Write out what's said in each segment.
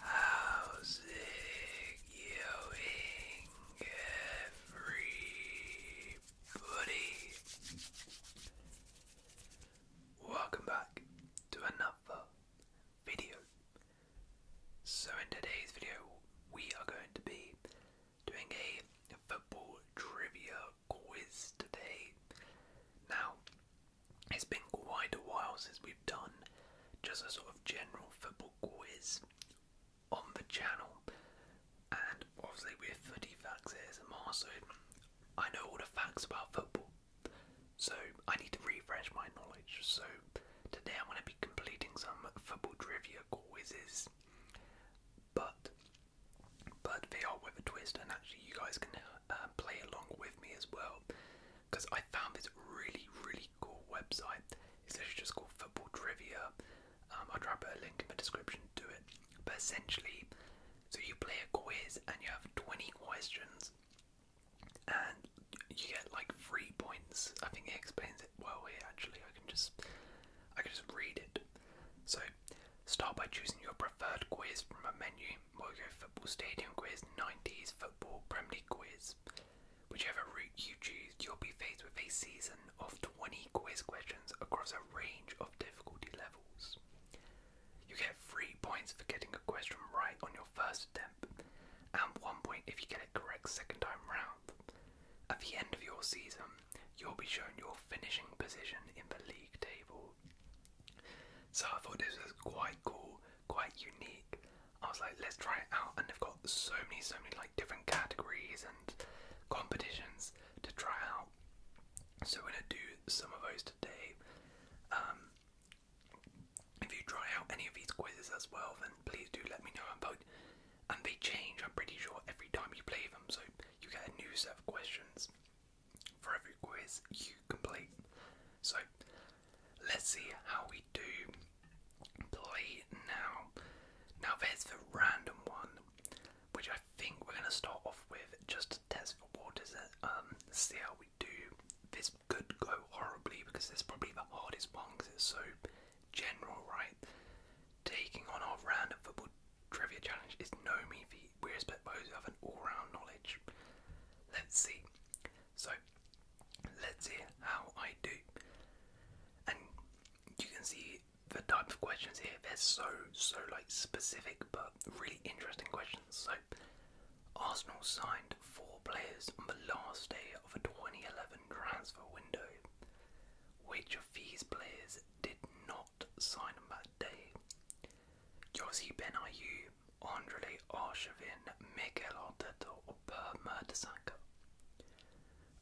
How's it going, everybody? Welcome back to another video. So, in today's video, we are going to be doing a football trivia quiz today. Now, it's been quite a while since we've done just a sort of general football quiz on the channel, and obviously we're footy facts ASMR, I know all the facts about football, so I need to refresh my knowledge. So today I'm going to be completing some football trivia quizzes, but but they are with a twist, and actually, you guys can uh, play along with me as well because I found this really, really cool website. It's actually just called Football Trivia. Um, I'll drop a link in the description to it. But essentially, so you play a quiz and you have 20 questions, and you get like three points. I think it explains it well here. Actually, I can just I can just read it. So Start by choosing your preferred quiz from a menu. we Football Stadium Quiz, 90s Football Premier Quiz. Whichever route you choose, you'll be faced with a season of 20 quiz questions across a range of difficulty levels. You get 3 points for getting a question right on your first attempt, and 1 point if you get it correct second time round. At the end of your season, you'll be shown your finishing position in the league table. So I thought this was quite cool, quite unique. I was like, let's try it out, and they've got so many, so many like different categories and competitions to try out. So we're gonna do some of those today. Um, if you try out any of these quizzes as well, then please do let me know about. And they change, I'm pretty sure, every time you play them, so you get a new set of questions for every quiz you complete. So let's see how we do play now. Now there's the random one, which I think we're gonna start off with just to test for waters and um see how we do. This could go horribly because this is probably the hardest one because it's so general, right? Taking on our random football trivia challenge is no mean feat we respect those who have an all-round knowledge. Let's see. So let's hear how I do. And you can see the type of questions here. They're so so like specific, but really interesting questions. So Arsenal signed four players on the last day of the 2011 transfer window. Which of these players did not sign that day. Yossi Benayoun, Andrei Arshavin, Mikel Arteta, or Per Mertesacker.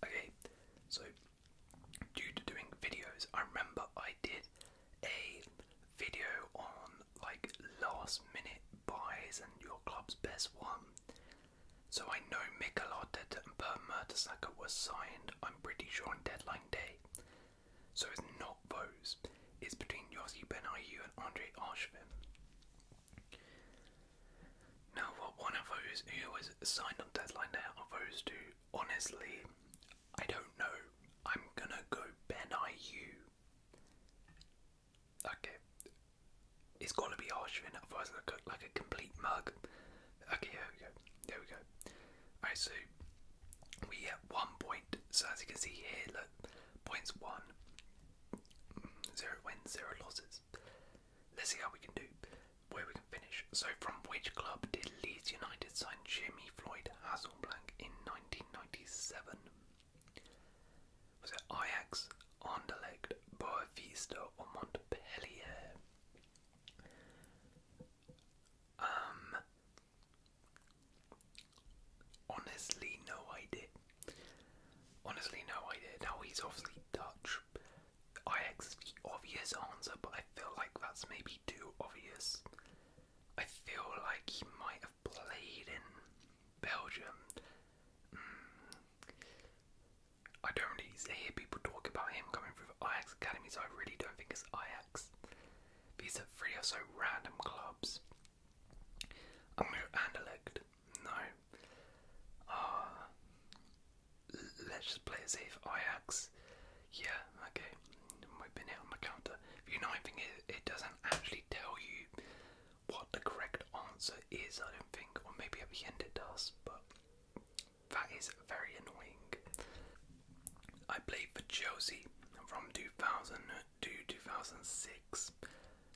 Okay, so due to doing videos, I remember I did a video on like last minute buys and your club's best one. So I know Mikel Arteta and Per Mertesacker was signed, I'm pretty sure, on deadline day. So it's not those. It's between Yossi Benayu and Andre Arshvin. Now, what one of those who was signed on deadline there are those two. Honestly, I don't know. I'm gonna go Benayu. Okay, it's to be Arshvin. Otherwise, I like a complete mug. Okay, here we go. There we go. Alright, so we get one point. So as you can see here, look, points one, zero wins, zero losses. Let's see how we can do, where we can finish. So from which club did Leeds United sign Jimmy Floyd Hasselblank in 1997? Was it Ajax, Anderlecht, Boa or Montpellier? Um, honestly, no idea. Honestly, no idea. Now he's obviously Dutch. I X the obvious answer, but I feel like that's maybe too obvious. I feel like he might have played in Belgium. Hmm. I don't really hear people talk about him coming from the Ajax Academy, so I really don't think it's these are three or so random clubs. I'm going to Anderlecht. No. Uh, let's just play it Ajax. Yeah, okay. We've been hit on the counter. The annoying thing is, it doesn't actually tell you what the correct answer is, I don't think. Or maybe at the end it does, but that is very annoying. I played for Chelsea from 2000 to 2006,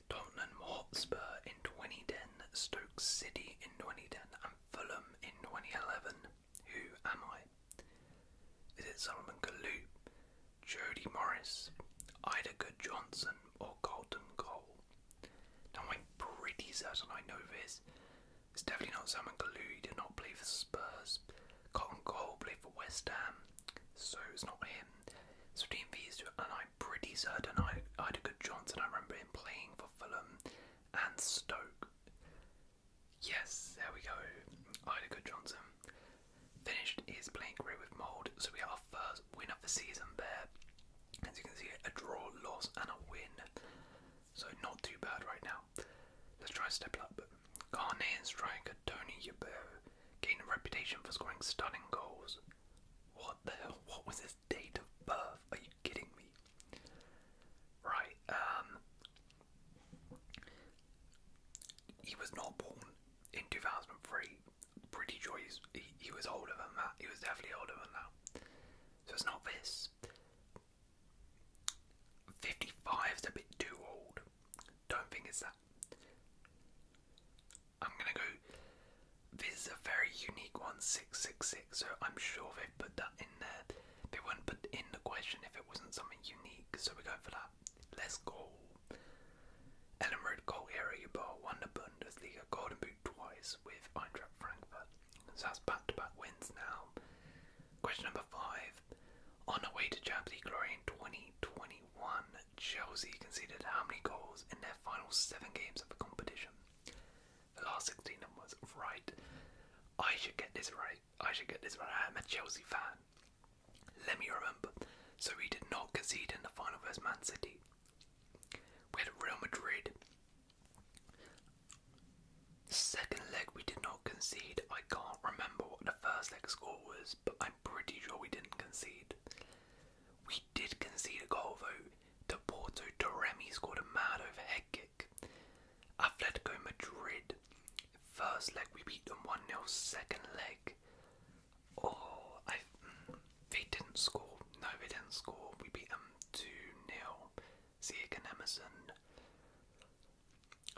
Tottenham Hotspur in 2010, Stoke City in 2010, and Fulham in 2011. Who am I? Is it Solomon Kalou, Jody Morris, Ida Johnson, or Colton Cole? Now I'm pretty certain I know this, it's definitely not Salmon Kalou. He did not play for Spurs. Cotton Cole played for West Ham, so it's not him. So Dean V's, and I'm pretty certain I, I had a good chance, and I remember him playing for Fulham and Stoke. Yes, there we go. Ida Johnson finished his playing career with Mould, so we have our first win of the season there. As you can see, a draw, loss, and a win. So not too bad right now. Let's try step up. Ghanaian striker Tony Yeboah gained a reputation for scoring stunning goals. What the hell? What was his date of birth? Are you kidding me? Right, um he was not born in 2003. Pretty sure he's, he, he was older than that. He was definitely older than that. So it's not this is a bit too old. Don't think it's that. I'm gonna go. This is a very unique one, 666, so I'm sure they've put that in there. They wouldn't put in the question if it wasn't something unique, so we're going for that. Let's go. Ellen Road Goal Area Bar won the Bundesliga Golden Boot twice with Eintracht Frankfurt. So that's back to back wins now. Question number five. On way to Champions League glory in 2021, Chelsea conceded how many goals in their final seven games of the competition? The last 16 was right. I should get this right. I should get this right. I'm a Chelsea fan. Let me remember. So we did not concede in the final versus Man City. We had Real Madrid, Second leg we did not concede. I can't remember what the first leg score was, but I'm pretty sure we didn't concede. We did concede a goal though. To Porto Toremi scored a mad over head kick. I fled to go Madrid. First leg we beat them 1 0. Second leg. Oh, mm, they didn't score. No, they didn't score. We beat them 2 0. Zeke Emerson.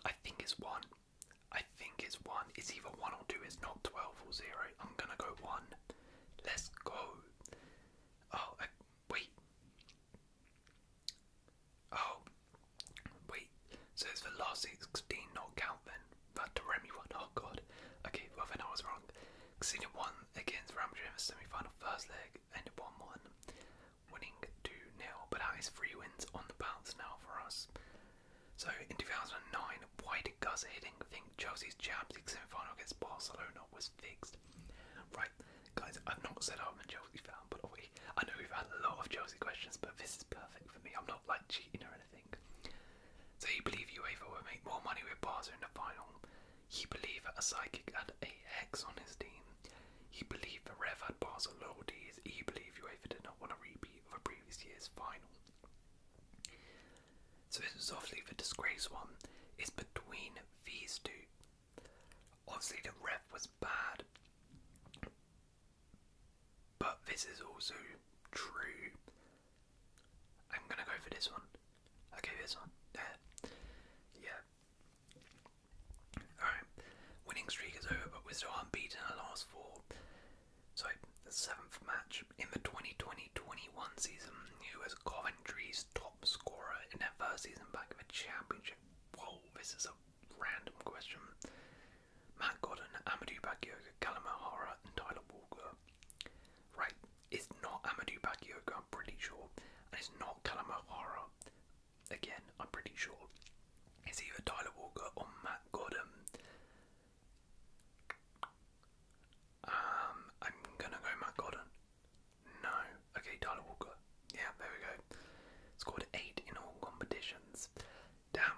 I think it's one. I think it's one. It's either one or two. It's not 12 or zero. I'm gonna go one. Let's go. Oh, uh, wait. Oh, wait. So it's the last 16 not count then? That Doremi one. Oh god. Okay, well then I was wrong. Casino won against Ramsey in the semi final first leg, ended 1 1 winning 2 0, but that is three wins on the bounce now for us. So in 2009, why did Gus Hiddink think Chelsea's Champions League semi final against Barcelona was fixed? Right, guys, I've not said I'm a Chelsea fan, but we, I know we've had a lot of Chelsea questions, but this is perfect for me. I'm not like cheating or anything. So you believe UEFA will make more money with Barca in the final? You believe that a psychic had a hex on his team? He believed the ref had bars of loyalty he believed UEFA did not want a repeat of a previous year's final. So this is obviously the disgrace one is between these two. Obviously the ref was bad, but this is also true. I'm gonna go for this one. Okay, this one. Yeah, yeah. Alright, winning streak is over, but we're still unbeaten in the last four. So, the seventh match in the 2020 21 season, who was Coventry's top scorer in their first season back in the Championship. Whoa, this is a random question. Matt Godden, Amadou Bakayoko, Callum O'Hara, and Tyler Walker. Right, it's not Amadou Bakayoko, I'm pretty sure, and it's not Callum O'Hara again, I'm pretty sure it's either Tyler Walker or Matt Godham. Um, I'm gonna go Matt Godham. No, okay, Tyler Walker. Yeah, there we go. Scored eight in all competitions. Damn,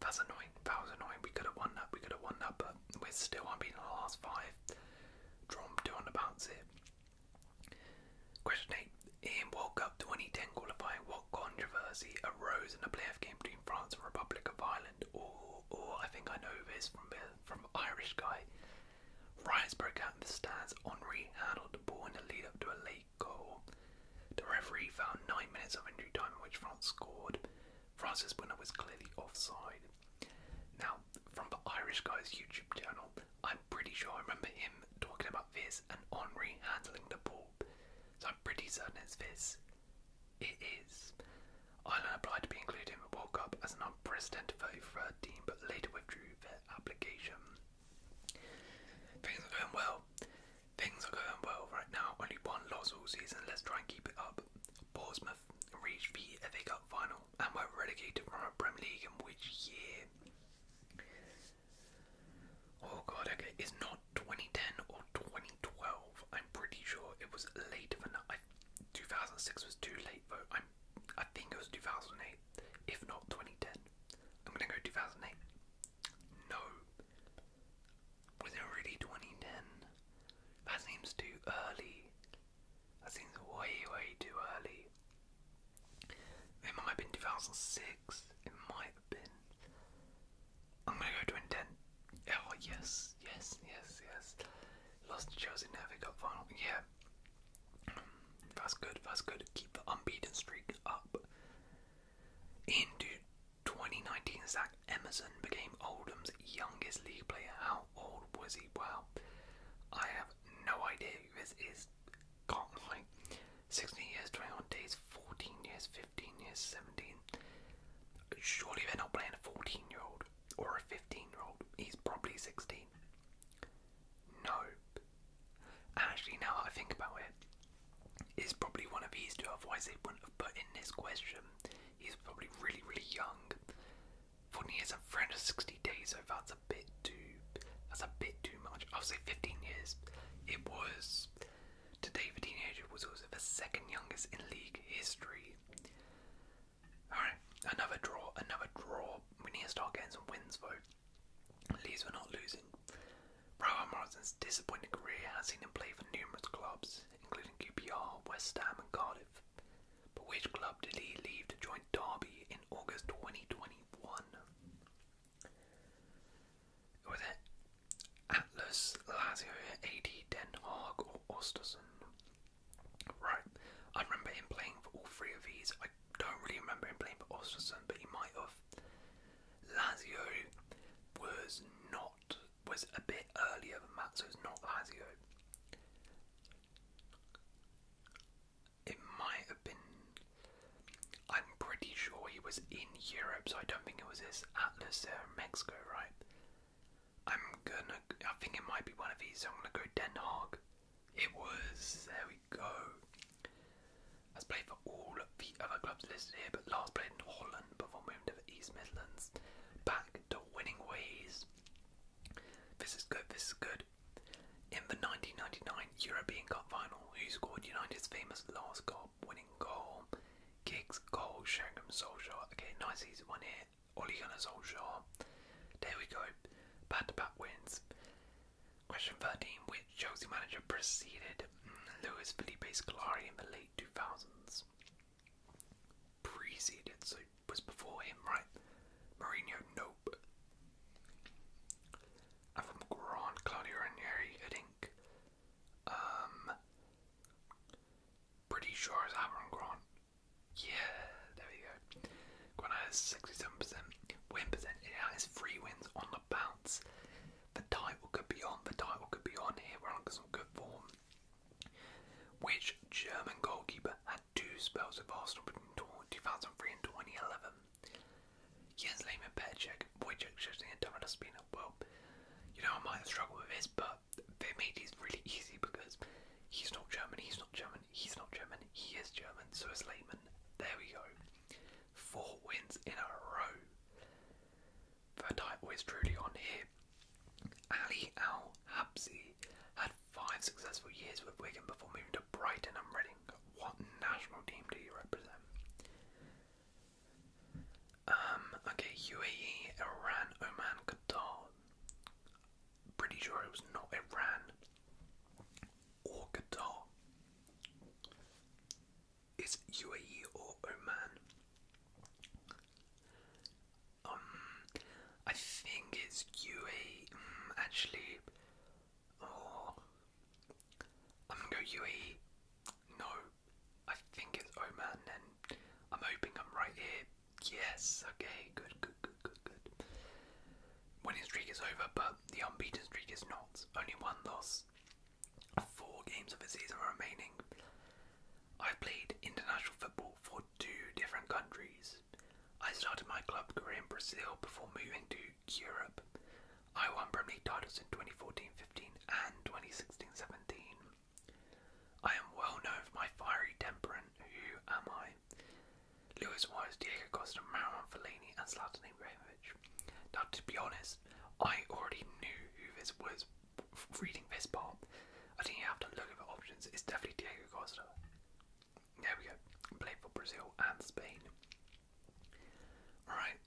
that's annoying. That was annoying. We could have won that. We could have won that, but we're still unbeaten in the last five. Drawn two on the Question 8. In World Cup 2010 qualifying, what controversy arose in a playoff game between France and Republic of Ireland? Or, or I think I know this from from Irish guy. Riots broke out in the stands. Henri handled the ball in the lead up to a late goal. The referee found nine minutes of injury time in which France scored. France's winner was clearly offside. Now, from the Irish Guy's YouTube channel. I'm pretty sure I remember him talking about this and Henri handling the ball. So I'm pretty certain it's this. It is. Ireland applied to be included in the World Cup as an unprecedented vote 33rd team, but later withdrew their application. Things are going well. Things are going well right now. Only one loss all season. Let's try and keep it up. Portsmouth Bournemouth reached the FA Cup final and were relegated from the Premier League in which year? Oh god, okay, it's not 2010 or 2012. I'm pretty sure it was later than that. 2006 was too late though. I'm, I think it was 2008, if not 2010. I'm gonna go 2008. No. Was it already 2010? That seems too early. That seems way, way too early. It might have been 2006. It might have been. I'm gonna go to intent. Oh yes, yes, yes, yes. Lost to Chelsea Navic Cup final. Yeah, that's good. That's good. Keep the unbeaten streak up. In 2019, Zach Emerson became Oldham's youngest league player. How old was he? Wow. I have have no idea who is. Can't lie. 16 years, 21 days, 14 years, 15 years, 17. Surely they're not playing a 14 year old or a 15 year old. He's probably 16. No. Actually, now I think about it, he's probably one of these two, otherwise, they wouldn't have put in this question. He's probably really, really young. 14 years and 360 days, so that's a bit too, that's a bit too much. I'll say 15 years. It was, today the teenager was also the second youngest in league history. Alright, another draw, another draw. We need to start getting some wins though. At least we're not losing. Raul Morrison's disappointing career has seen him play for numerous clubs, including QPR, West Ham and Cardiff. But which club did he leave to join Derby in August 2021? Was it Atlas, Lazio, AD, Den Haag, or Osterson? Right, I remember him playing for all three of these. I don't really remember him playing for Osterson, but he might have. Lazio was not was a bit earlier than that, so it's not Lazio. It might have been. I'm pretty sure he was in Europe, so I don't think it was his Atlas there in Mexico, right? I'm gonna. I think it might be one of these, so I'm gonna go Den Haag. It was. There we go. Has played for all the other clubs listed here, but last played in Holland before moving to East Midlands. Back to winning ways. This is good, this is good. In the 1999 European Cup final, who scored United's famous last goal winning goal? Giggs, Cole, Sheringham, Solskjaer. Okay, nice easy one here. Ole Gunnar Solskjaer. There we go. Back to back wins. Question 13. Which Chelsea manager preceded Luis Felipe Scolari in the late 2000s? preceded, so was before him, right? Mourinho, nope. And from Claudio Ranieri, I think. Um, pretty sure it's Aaron Grant. Yeah, there we go. Grant has 67% win percentage. He has three wins on the bounce. The title could be on, the title could be on here. We're on some good form. Which German goalkeeper had two spells with Arsenal between 2003 and 2011? Jens Lehmann Perchek, Wojciech Szczesny and Dominic Spina. Well, you know, I might have struggled with this, but they made really easy because he's not German, he's not German, he's not German, he is German, so is Lehmann. There we go. Four wins in a row. The title is truly on here. Ali Al Habsi had five successful years with Wigan before moving to Brighton I'm Reading. What national team do you represent? Um, okay, UAE, Iran, Oman, Qatar. Pretty sure it was not Iran or Qatar. It's UAE or Oman. Um, I think it's UAE. Mm, actually, oh, I'm gonna go UAE. No, I think it's Oman, and I'm hoping I'm right here. Yes, okay, good, good, good, good, good. Winning streak is over, but the unbeaten streak is not. Only one loss. Four games of the season remaining. I've played international football for two different countries. I started my club career in Brazil before moving to Europe. I won Premier titles in 2014 15 and 2016 17. I am well known for my fiery temperament. who am I? Lewis was Diego Costa, Marouane Fellaini, and Zlatan Ibrahimovic. Now, to be honest, I already knew who this was reading this part. I think you have to look at the options. It's definitely Diego Costa. There we go. Played for Brazil and Spain. Alright.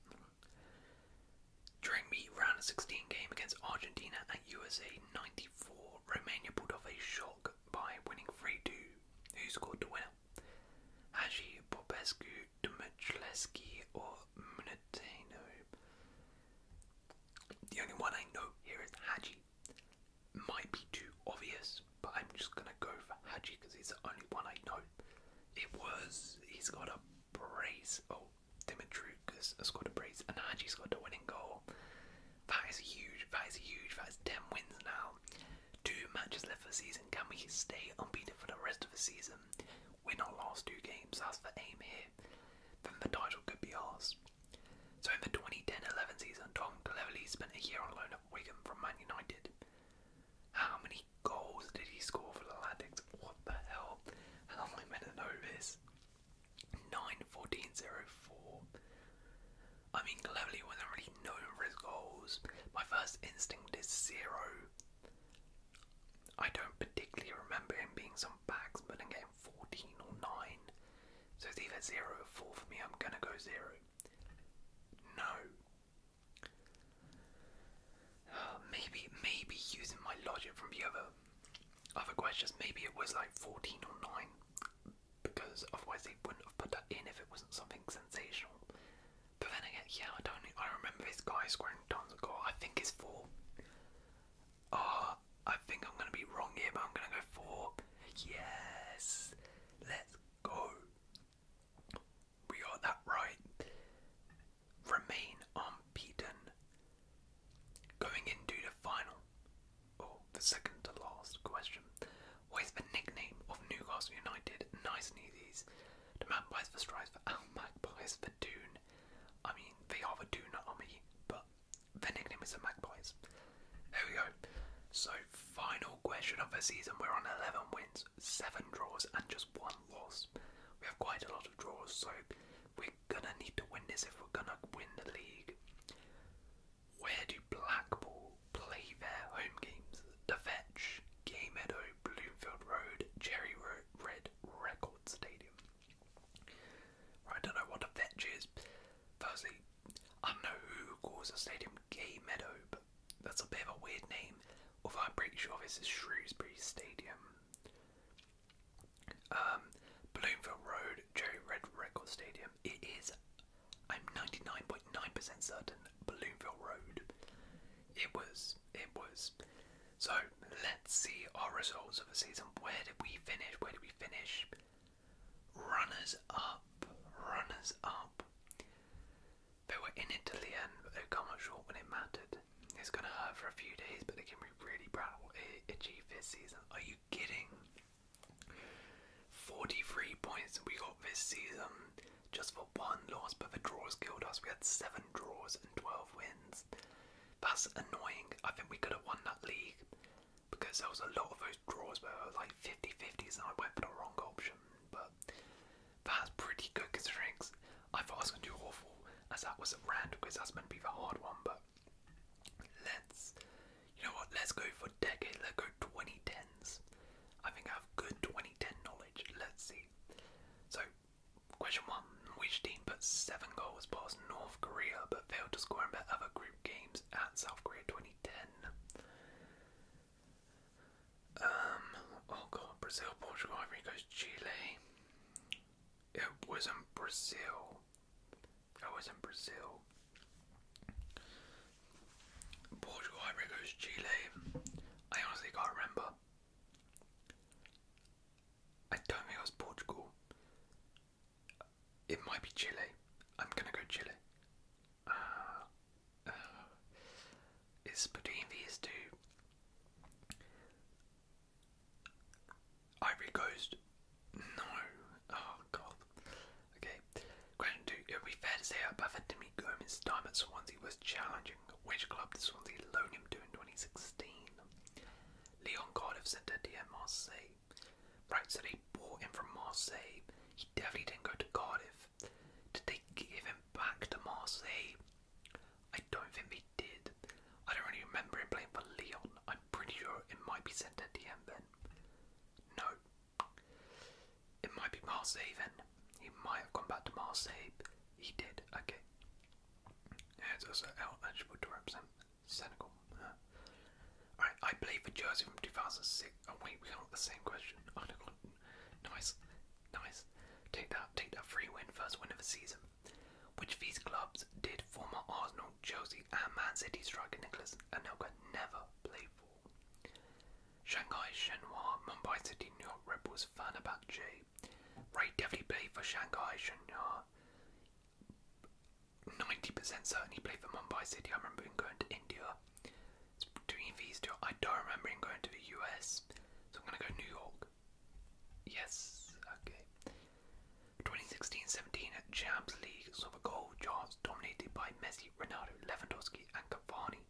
During the round of 16 game against Argentina at USA 94, Romania pulled off a shock by winning 3 2. Who scored the winner? Haji Popescu, Dmitrileski, or Munetano? The only one I know here is Haji might be too obvious, but I'm just gonna go for Haji because he's the only one I know. It was he's got a brace. Oh, Dimitriukas has got a brace, and haji scored got the winning goal. That is huge. That is huge. That is ten wins now. Two matches left for the season. Can we stay unbeaten for the rest of the season? Win our last two games. That's the aim here. Then the title could be ours. So in the 2010-11 season, Tom cleverly spent a year on loan at Wigan from Man United. How many goals did he score for the Latics? What the hell? i am only meant to know this? 9-14-04. I mean, cleverly wasn't really known for his goals. My first instinct is zero. I don't particularly remember him being some bags, and getting 14 or 9. So it's either 0 or 4 for me. I'm going to go 0. No. Uh, maybe maybe using my logic from the other other questions, maybe it was like 14 or 9 because otherwise they wouldn't have put that in if it wasn't something sensational. But then again, yeah, I don't. I remember this guy scoring tons of goals. I think it's four. Ah, I think I'm gonna be wrong here, but I'm gonna go for yes. Let's go. We got that right. Remain unbeaten. Going into the final, oh, the second to last question. What is the nickname of Newcastle United? Nice and The man buys the strives for for Dune. I mean, they are the Dune army, but their nickname is the Magpies. There we go. So, final question of the season. We're on 11 wins, 7 draws, and just 1 loss. We have quite a lot of draws, so we're gonna need to win this if we're gonna win the league. Where do Blackpool play their home games? The Game Gay Meadow, Bloomfield Road, Cherry Road, Red Record Stadium. I don't know what a fetch is. Firstly, I don't know who calls a stadium Gay Meadow, but that's a bit of a weird name. Although I'm pretty sure this is Shrewsbury Stadium. Um, Bloomfield Road, Cherry Red Record Stadium. It is, I'm 99.9% percent certain, Bloomfield Road. It was, it was. So let's see our results of the season. Where did we finish? Where did we finish? runners up, runners up. They were in it till the end, but they come up short when it mattered. It's gonna hurt for a few days, but they can be really proud of this season. Are you kidding? 43 points we got this season just for one loss, but the draws killed us. We had seven draws and 12 wins. That's annoying. I think we could have won that league because there was a lot of those draws where I was like 50 50s and I went for the wrong option. But that's pretty good considering I thought I was going to do awful as that was at random because that's meant to be the hard one. But let's, you know what, let's go for decade, let's go 2010s. I think I have good 2010 knowledge. Let's see. So, question one Which team but seven goals past North Korea, but failed to score in their other group games at South Korea 2010. Um, oh god, Brazil, Portugal, Ivory Coast, Chile. It was in Brazil. It was in Brazil. Portugal, Ivory Coast, Chile. I honestly can't remember. I don't think it was Portugal. It might be Chile. I'm gonna go Chile. Uh, uh, it's between these two. Ivory Coast. No. Oh god. Okay. Question two. It would be fair to say that Bafetimi Gomez's time at Swansea was challenging. Which club did Swansea loan him to in 2016? Leon Cardiff sent to DM Marseille. Right, so they bought him from Marseille. He definitely didn't go to Cardiff. Did they give him back to Marseille? I don't think they did. I don't really remember him playing for Leon. I'm pretty sure it might be sent to DM then. No. It might be Marseille then. He might have gone back to Marseille. He did, okay. Yeah, it's also eligible to represent Senegal. Huh? I played for Jersey from 2006. Oh, wait, we got the same question. Oh, nice, nice. Take that, take that free win, first win of the season. Which of these clubs did former Arsenal, Chelsea, and Man City striker Nicholas Anelka never play for? Shanghai, Shenhua, Mumbai City, New York Red Bulls, Fenerbahce. Ray definitely played for Shanghai, Shenhua. 90% certainly played for Mumbai City. I remember him going to India. between these two. I don't remember him going to the US. So I'm going to go New York. Yes, okay. 2016-17 at Champions League saw the goal charts dominated by Messi, Ronaldo, Lewandowski and Cavani.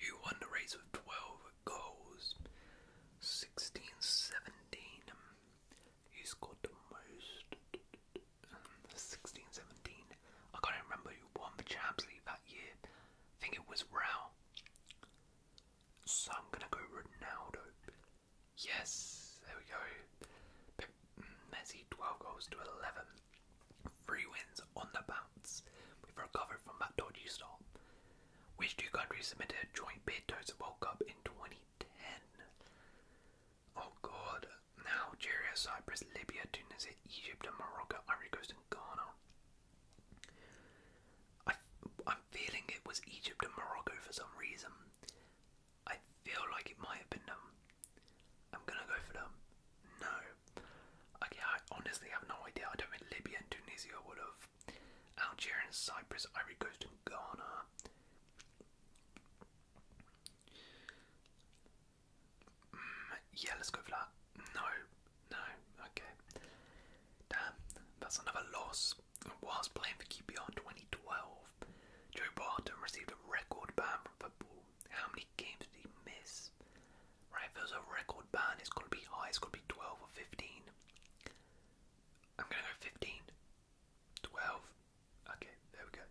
Who won the race with 12 goals? 16-17. He scored the most um, 16 17. I can't remember who won the Champions League that year. I think it was Real. So I'm gonna go Ronaldo. Yes, there we go. Messi 12 goals to 11. Three wins on the bounce. We've recovered from that dodgy start. Which two countries submitted joint bids to the World Cup in 20 2010. Oh god. Algeria, Cyprus, Libya, Tunisia, Egypt, and Morocco, Ivory Coast, and Ghana. I, I'm feeling it was Egypt and Morocco for some reason. I feel like it might have been them. I'm gonna go for them. No. Okay, I honestly have no idea. I don't think Libya and Tunisia would have Algeria and Cyprus, Ivory Coast and Ghana. Mm, yeah, let's go for that. No, no, okay. Damn, that's another loss. Whilst playing for QPR in 2012, Joe Barton received a record ban from football. How many games did he miss? Right, if there's a record ban, it's got to be high, it's got to be 12 or 15. I'm going to go 15. Twelve. Okay, there we go.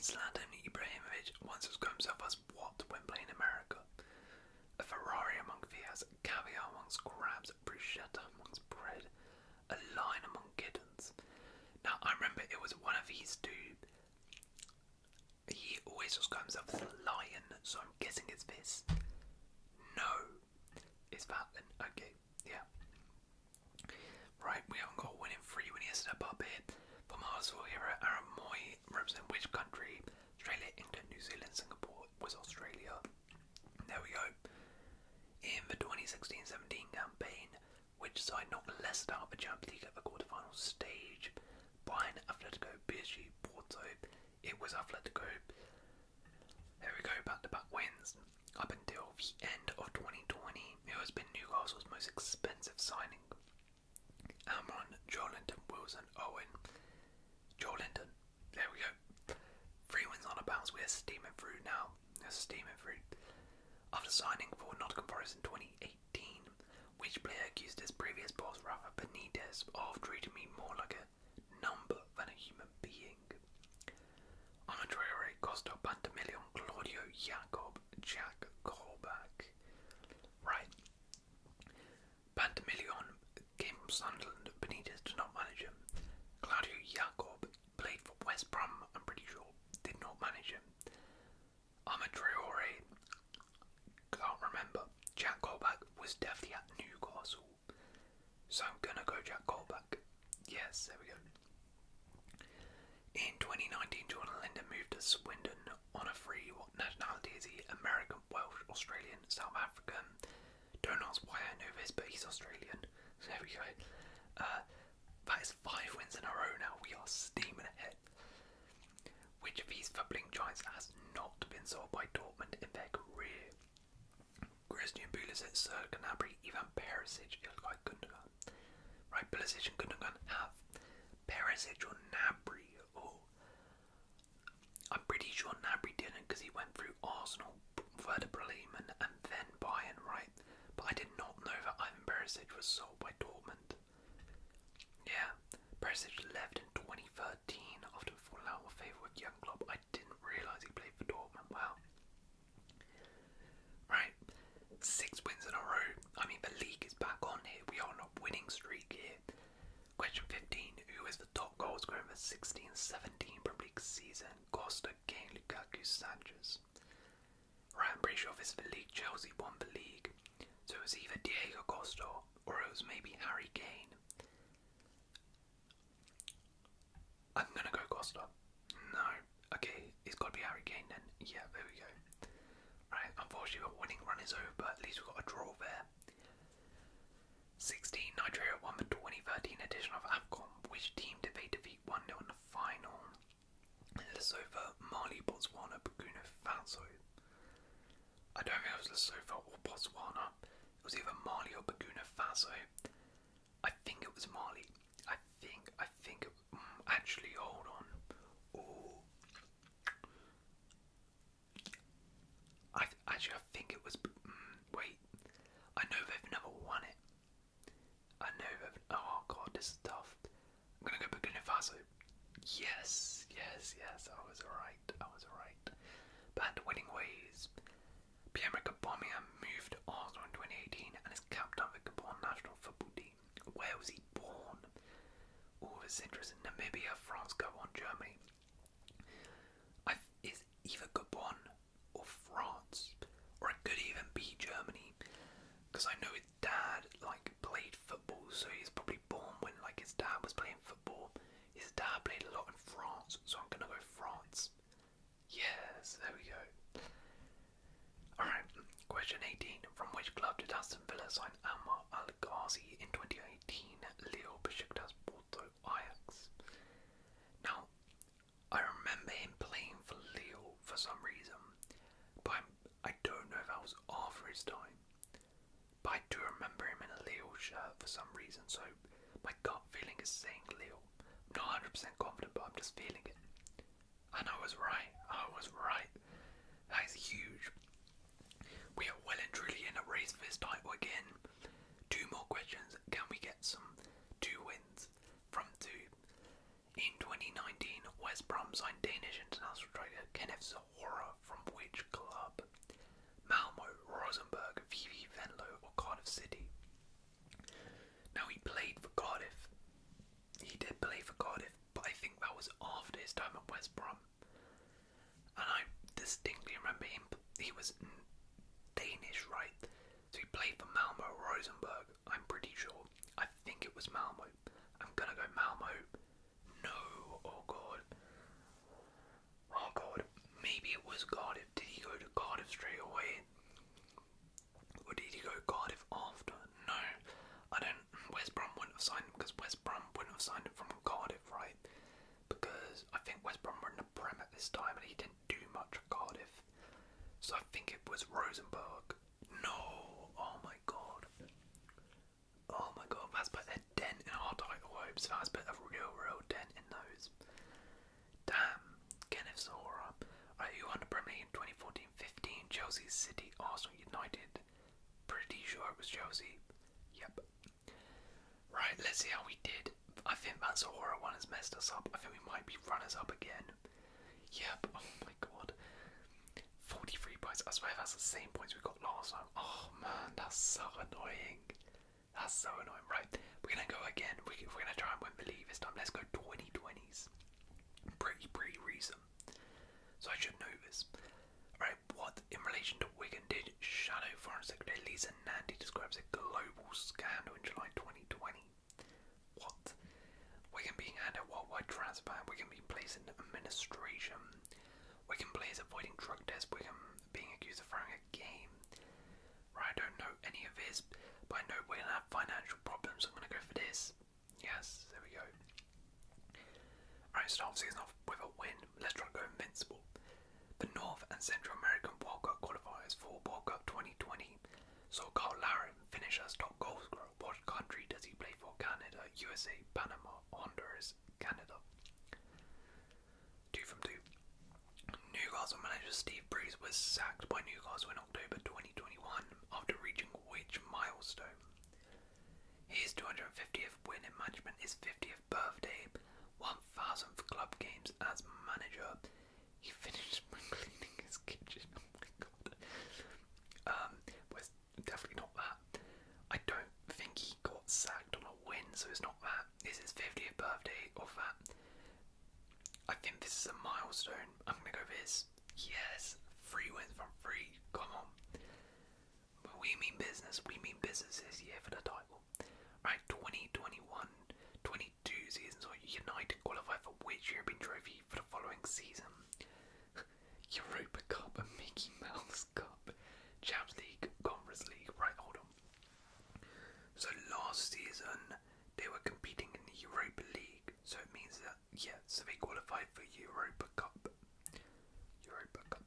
Zlatan Ibrahimovic once described himself as what when playing America? A Ferrari among Fias, caviar amongst crabs, bruschetta amongst bread, a lion amongst kittens. Now I remember it was one of these two. He always just comes up with a lion, so I'm guessing it's this. No, it's that then? Okay, yeah. Right, we haven't got a winning three when he has step up here. For Marsville Hero, Aaron Moy represent which country? Australia, England, New Zealand, Singapore was Australia. There we go. In the 2016-17 campaign, which side knocked Leicester out of the Champions League at the quarterfinal stage? Bayern, Atletico, PSG, Porto. It was Atletico. There we go, back to back wins. Up until the end of 2020, it has been Newcastle's most expensive signing. Amron, Joelinton, Wilson, Owen, Joelinton. There we go. Three wins on a bounce. We're steaming through now. We're steaming through. After signing for Nottingham Forest in 2018, which player accused his previous boss Rafa Benitez of treating me more like a higher number than a human being. Andrea Costa Pantamillion, Claudio Jacob, Jack Korback. Right. Pantamillion came from Sunderland, Benitez did not manage him. Claudio Jacob played for West Brom, I'm pretty sure, did not manage him. Amadreore, can't remember. Jack Korback was definitely at Newcastle. So I'm gonna go Jack Colback. Yes, there we go. In 2019, Jordan Linder moved to Swindon on a free. What nationality is he? American, Welsh, Australian, South African. Don't ask why I know this, but he's Australian. there we go. Uh, that is five wins in a row now. We are steaming ahead. Which of these fumbling giants has not been sold by Dortmund in their career? Christian Pulisic, Serge Gnabry, Ivan Perisic, Right, Pulisic and Gundogan have Perisic or Gnabry. Oh, I'm pretty sure Gnabry didn't because he went through Arsenal, Werder and then Bayern, right? But I did not know that Ivan Perisic was sold by Dortmund. Yeah, Perisic left in 2013 13, often falling out of favour with young Klopp. I didn't realise he played for Dortmund. Wow. Right, six wins in a row. I mean, the league is back on here. We are on a winning streak here. Question 15. Who is the top goalscorer scorer in the 16 17 Premier League season? Costa, Kane, Lukaku, Sanchez. Right, I'm pretty sure this is the league. Chelsea won the league. So it was either Diego Costa or it was maybe Harry Kane. I'm gonna go Costa. No. Okay, it's gotta be Harry Kane then. Yeah, there we go. Right, unfortunately our winning run is over, but at least we got a draw there. 16. Nigeria won the 2013 edition of AFCON. Which team did they defeat 1 0 in the final? Lesotho, Mali, Botswana, Burkina Faso. I don't think it was Lesotho or Botswana. It was either Mali or Burkina Faso. I think it was Mali. I think, I think, mm, actually, hold on. Oh. I actually, I think it was. Mm, wait, I know they've never won it. I know Oh god, this is tough. I'm gonna go Burkina Faso. Yes, yes, yes. I was alright. I was alright right. Behind winning ways, Pierre Gabonmia moved Arsenal in 2018 and is captain of the Gabon national football team. Where was he born? All of his interests in Namibia, France, go on, Germany. is either Gabon or France, or it could even be Germany, because I know his dad like played football, so he's probably born when like his dad was playing football. His dad a lot in France, so I'm gonna go France. Yes, there we go. Alright, question 18. From which club did Aston Villa sign Ammar Alghazi in 2018? Leo Besiktas, Porto, Ajax. Now, I remember him playing for Leo for some reason, but I'm, I do not know if that was after his time. But I do remember him in a Lille shirt for some reason, so my gut feeling is saying Lille. I'm not 100% confident, but I'm just feeling it. And I was right. I was right. That is huge. We are well and truly in a race for this title again. Two more questions. Can we get some two wins from two? In 2019, West Brom signed Danish international striker Kenneth Sol Hora from which club? Malmo, Rosenborg, VV Venlo, or Cardiff City? Now he played for Cardiff. He did play for Cardiff, but I think that was after his time at West Brom. And I distinctly remember him. He was Danish, right? So he played for Malmo Rosenborg, I'm pretty sure. I think it was Malmo. I'm gonna go Malmo. No, oh god. Oh God, maybe it was Cardiff. Did he go to Cardiff straight away? Or did he go Cardiff after? No, I don't. West Brom wouldn't have signed him because West Brom wouldn't have signed him from Cardiff, right? Because I think West Brom were in the Prem at this time and he didn't do much at Cardiff. So I think it was Rosenborg. No, oh my God. Oh my god, that's put a dent in our title hopes. That's put a real, real dent in those. Damn, Kenneth Sora. Are you on the Premier in 2014 15? Chelsea, City, Arsenal, United. Pretty sure it was Chelsea. Yep. Right, let's see how we did. I think that Sora one has messed us up. I think we might be runners up again. Yep, oh my god. 43 points. I swear that's the same points we got last time. Oh man, that's so annoying. That's so annoying. Right, we're gonna go again. We, are gonna try and win Believe this time, let's go 2020s. Pretty, pretty recent. So I should know this. Right, what in relation to Wigan did Shadow Foreign Secretary Lisa Nandy describes a global scandal in July 2020? What? Wigan being handed a worldwide transfer, Wigan being placed in administration, we can play as avoiding drug tests, can being accused of throwing a game. Right, I don't know any of this, but I know we're going have financial problems, I'm going to go for this. Yes, there we go. Right, start season off with a win. Let's try to go invincible. The North and Central American World Cup qualifiers for World Cup 2020 So called Larin finish as top goal scorer. What country does he play for? Canada, USA, Panama, Honduras, Canada. Two from two. Newcastle manager Steve Bruce was sacked by Newcastle in October 2021 after reaching which milestone? His 250th win in management, his 50th birthday, 1000th club games as manager. He finished by cleaning his kitchen. Oh my god. Um, was definitely not that. I don't think he got sacked on a win, so it's not that. It's his 50th birthday or that. I think this is a milestone. I'm gonna go for this. Yes, three wins from three. Come on. But we mean business. We mean business this year for the title. Right, 2021, 22 seasons, or United qualify for which European trophy for the following season? Europa Cup and Mickey Mouse Cup. Champions League, Conference League. Right, hold on. So last season they were competing in the Europa League, so it means that yeah, so they qualified for Europa Cup. Europa Cup.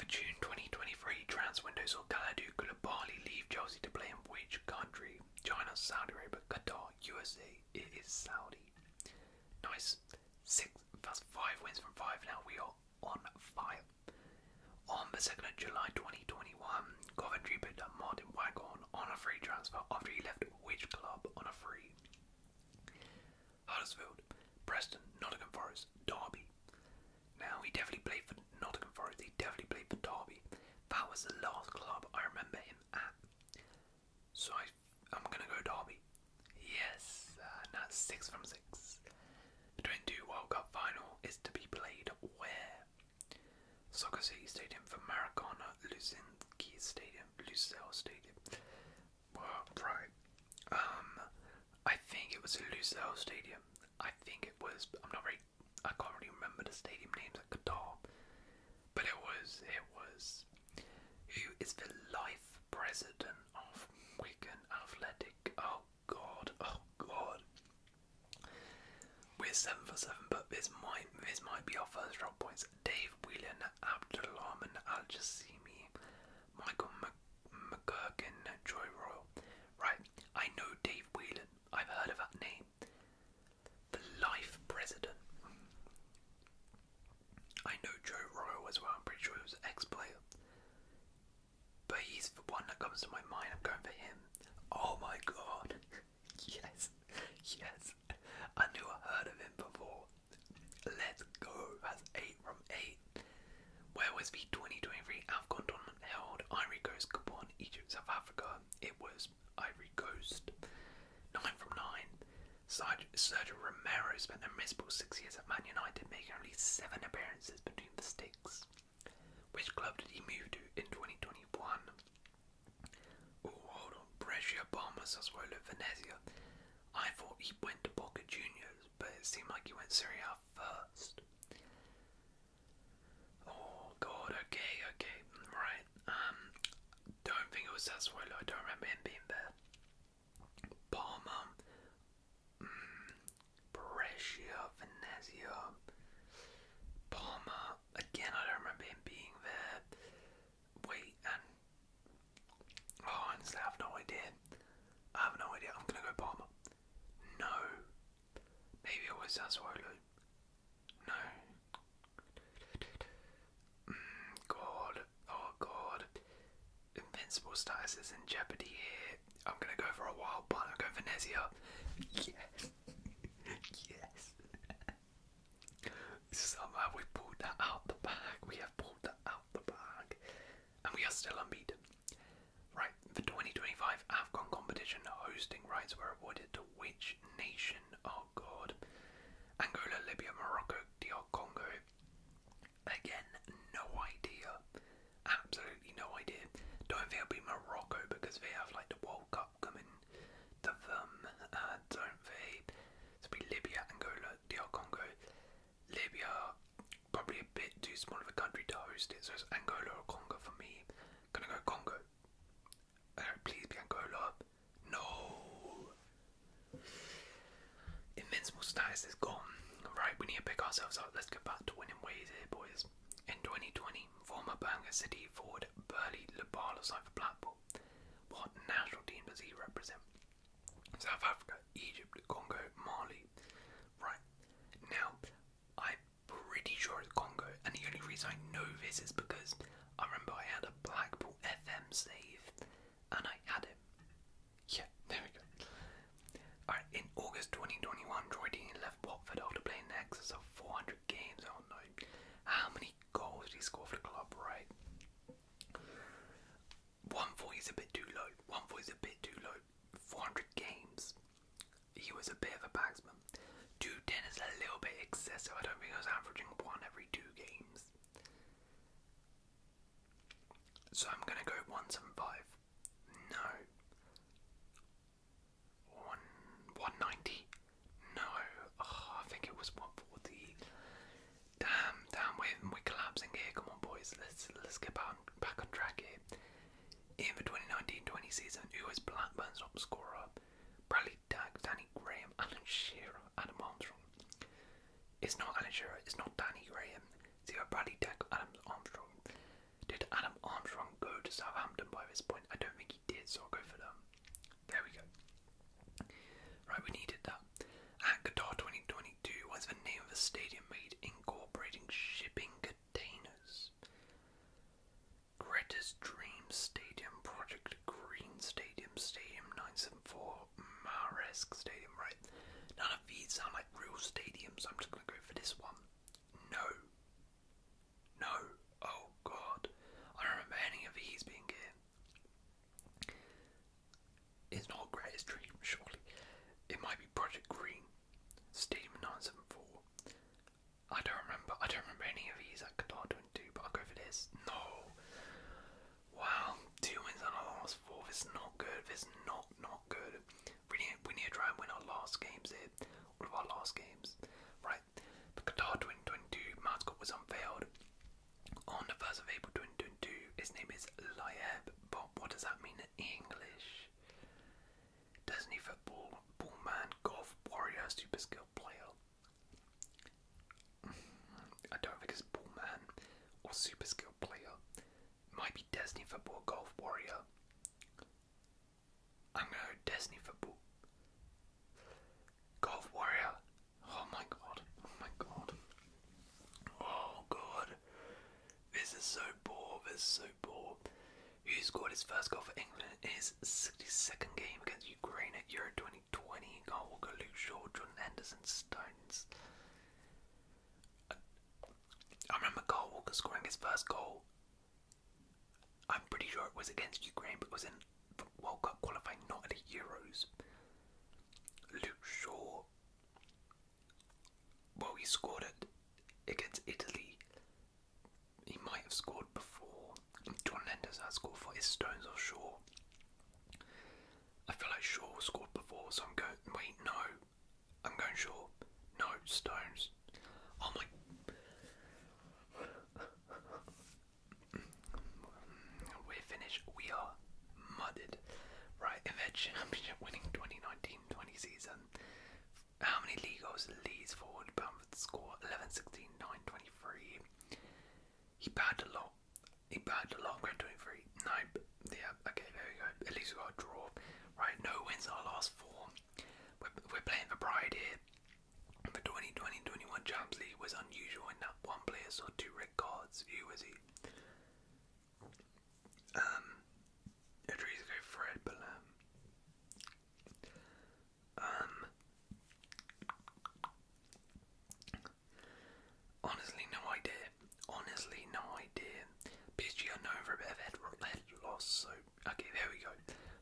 For June 2023, trans window saw Kalidou Koulibaly leave Chelsea to play in which country? China, Saudi Arabia, Qatar, USA. It is Saudi. Nice. Six. five wins from five. Now we are on fire. On the 2nd of July 2021, Coventry picked Martin Waghorn on a free transfer after he left which club on a free? Huddersfield, Preston, Nottingham Forest, Derby. Now, he definitely played for Nottingham Forest, he definitely played for Derby. That was the last club I remember him at. So I I'm gonna go Derby. Yes, uh, that's six from six. The 22 World Cup final is to be played where? Soccer City Stadium for Maracana, Luzinski Stadium, Lucille Stadium. right. Um, I think it was Lucille Stadium. I think it was. I'm not very. I can't really remember the stadium names at Qatar, but it was. It was. Who is the life president of Wigan Athletic. Oh god, oh god. We're seven for seven, but this might this might be our first drop points. Dave Whelan, Abdulrahman Al Jasimi, Michael McGurkin, Joy Royal. Right, I know Dave Whelan. I've heard of that name. The life president. I know Joe Royal as well, I'm pretty sure he was an ex player. But he's the one that comes to my mind, I'm going for him. Oh my god! yes, yes. I knew I heard of him before. Let's go, that's 8 from 8. Where was the 2023 AFCON tournament held? Ivory Coast, Gabon, Egypt, South Africa. It was Ivory Coast. 9 from 9. Sergio Romero spent a miserable six years at Man United, making only seven appearances between the sticks. Which club did he move to in 2021? Oh, hold on. Brescia, Parma, Sassuolo, Venezia. I thought he went to Boca Juniors, but it seemed like he went Serie A first. Oh, God. Okay, okay. Right. Um, don't think it was Sassuolo. I don't remember him being there. Palmer, mm, Venezia, Palmer. Again, I don't remember him being there. Wait, and oh, honestly, I have no idea. I have no idea. I'm gonna go Palmer. No, maybe it was Sassuolo. No. Mm, God, god, oh god. Invincible status is in jeopardy here. I'm gonna go for a wild punt. I'm going for Nezia. Yes. yes. Somehow we pulled that out the bag. We have pulled that out the bag. And we are still unbeaten. Right, the 2025 Afghan competition hosting rights were awarded to which nation? Oh god. Angola, Libya, Morocco, DR Congo. Again, no idea. Absolutely no idea. Don't think it'll be Morocco because they have like the World Cup coming to them. Uh, don't they? It'll be Libya, Angola, DR Congo. Libya, probably a bit too small of a country to host it, so it's Angola or Congo for me. Gonna go Congo. Uh, please be Angola. No! Invincible status is gone. Right, we need to pick ourselves up. Let's get back to winning ways here, boys. In 2020, former Bangor City forward Burley Labala signed for Blackpool. What national team does he represent? South Africa, Egypt, Congo, Mali. Right, now I'm pretty sure it's Congo, and the only reason I know this is because I remember I had a Blackpool FM save and I had him. Yeah, there we go. Alright, in August 2021, Troy left Watford after playing in excess of 400 games. I oh, don't know how many goals did he score for the club, right? 140 is a bit too low. 140 is a bit too low. 400 games. He was a bit of a batsman. 210 is a little bit excessive. I don't think he was averaging one every two games. So I'm gonna go one seven five. No. One one ninety. No. Ah, I think it was one forty. Damn, damn, we're we're collapsing here. Come on, boys. Let's let's get back on, back on track here. In the 2019-20 season, who was Blackburn's top scorer? Bradley Dagg, Danny Graham, Alan Shearer, Adam Armstrong. It's not Alan Shearer, it's not Danny Graham, it's either Bradley Deck or Adam Armstrong. Did Adam Armstrong go to Southampton by this point? I don't think he did, so I'll go for them. There we go. Right, we needed that. At Qatar 2022, what's the name of a stadium made incorporating shipping containers? Greatest Dream Stadium, Project Green Stadium, Stadium 974, Maresque Stadium, right? None of these sound like real stadiums. I'm just gonna go for this one. No. No. Oh god. I don't remember any of these being here. It's not greatest dream, surely. It might be Project Green. Stadium 974. I don't remember. I don't remember any of these at Qatar 22, but I'll go for this. No. Wow, two wins and a loss. four. This is not good. This is not not good. We need we need to try and win our last games here. What of our last games, right? The Qatar 2022 mascot was unveiled on the first of April 2022. His name is Lieb, but what does that mean in English? Doesn't he football, ball man, golf warrior, super skilled player? I don't think it's Ballman or Super Skill Player. It might be Destiny Football Golf Warrior. I'm gonna go Destiny Football. Golf Warrior. Oh my god. Oh my god. Oh god. This is so poor. This is so poor. Who scored his first goal for England in his 62nd game against Ukraine at Euro 20 Twenty. Kyle Walker, Luke Shaw, Jordan Henderson, Stones. I, remember Kyle Walker scoring his first goal. I'm pretty sure it was against Ukraine, but it was in World Cup qualifying, not at Euros. Luke Shaw. Well, he scored it against Italy. He might have scored before. John Lender's scored for his Stones or Shaw. I feel like Shaw scored before, so I'm going. Wait, no, I'm going Shaw. No, Stones. Oh my. We're finished. We are mudded. Right, in championship winning 2019 season, how many league Leeds forward Bamford score? 11 He bagged a lot. He bagged a lot, I'm going 23. yeah, okay, there we go. At least we got a draw. Right, no wins in our last four. We're, we're playing for pride here. The 2020-21 League was unusual in that one player saw two red cards. Who was he? Um, Adrizico Fred, but um, Honestly, no idea. Honestly, no idea. PSG are known for a bit of head, head loss, so okay, there we go.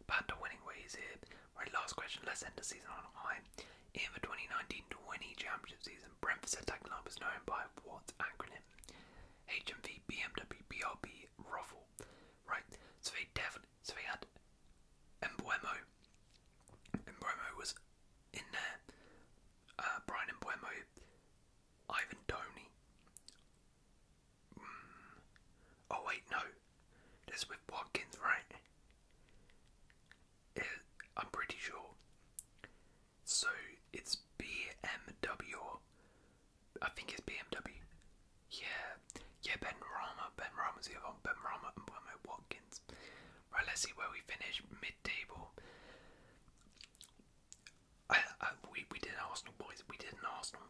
Back to winning ways here. Right, last question. Let's end the season on a high. In the 2019-20 championship season, Brentford's attack line was known by what acronym? HMV, Ruffle. Right, so they definitely so they had Embuemo, and Buemo was in there. Uh, Brian and Buemo, Ivan Tony. Mm. Oh wait, no, that's with Watkins, right? It, I'm pretty sure. So it's BMW. I think it's BMW. Yeah, yeah. Ben Rama, Ben Rama's the other one. Ben Rama and Buemo Watkins. Right, let's see where we finish mid-table. I, we we did Arsenal, boys. We did Arsenal.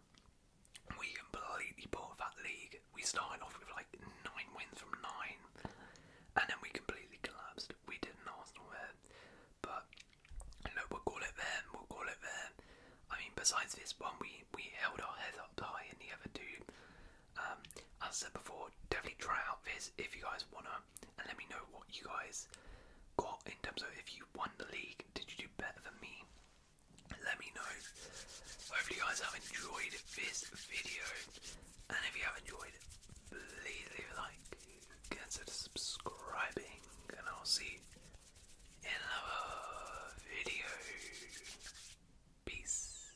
We completely bought that league. We started off with like nine wins from nine, and then we completely collapsed. We did not Arsenal there, but no, we'll call it there. We'll call it there. I mean, besides this one, we we held our heads up high in the other two, um, as I said before, definitely try out this if you guys wanna, and let me know what you guys got in terms of if you won the league. Did you do better than me? Let me know. Hopefully, you guys have enjoyed this video, and if you have enjoyed, please leave a like, consider subscribing, and I'll see you in another video. Peace.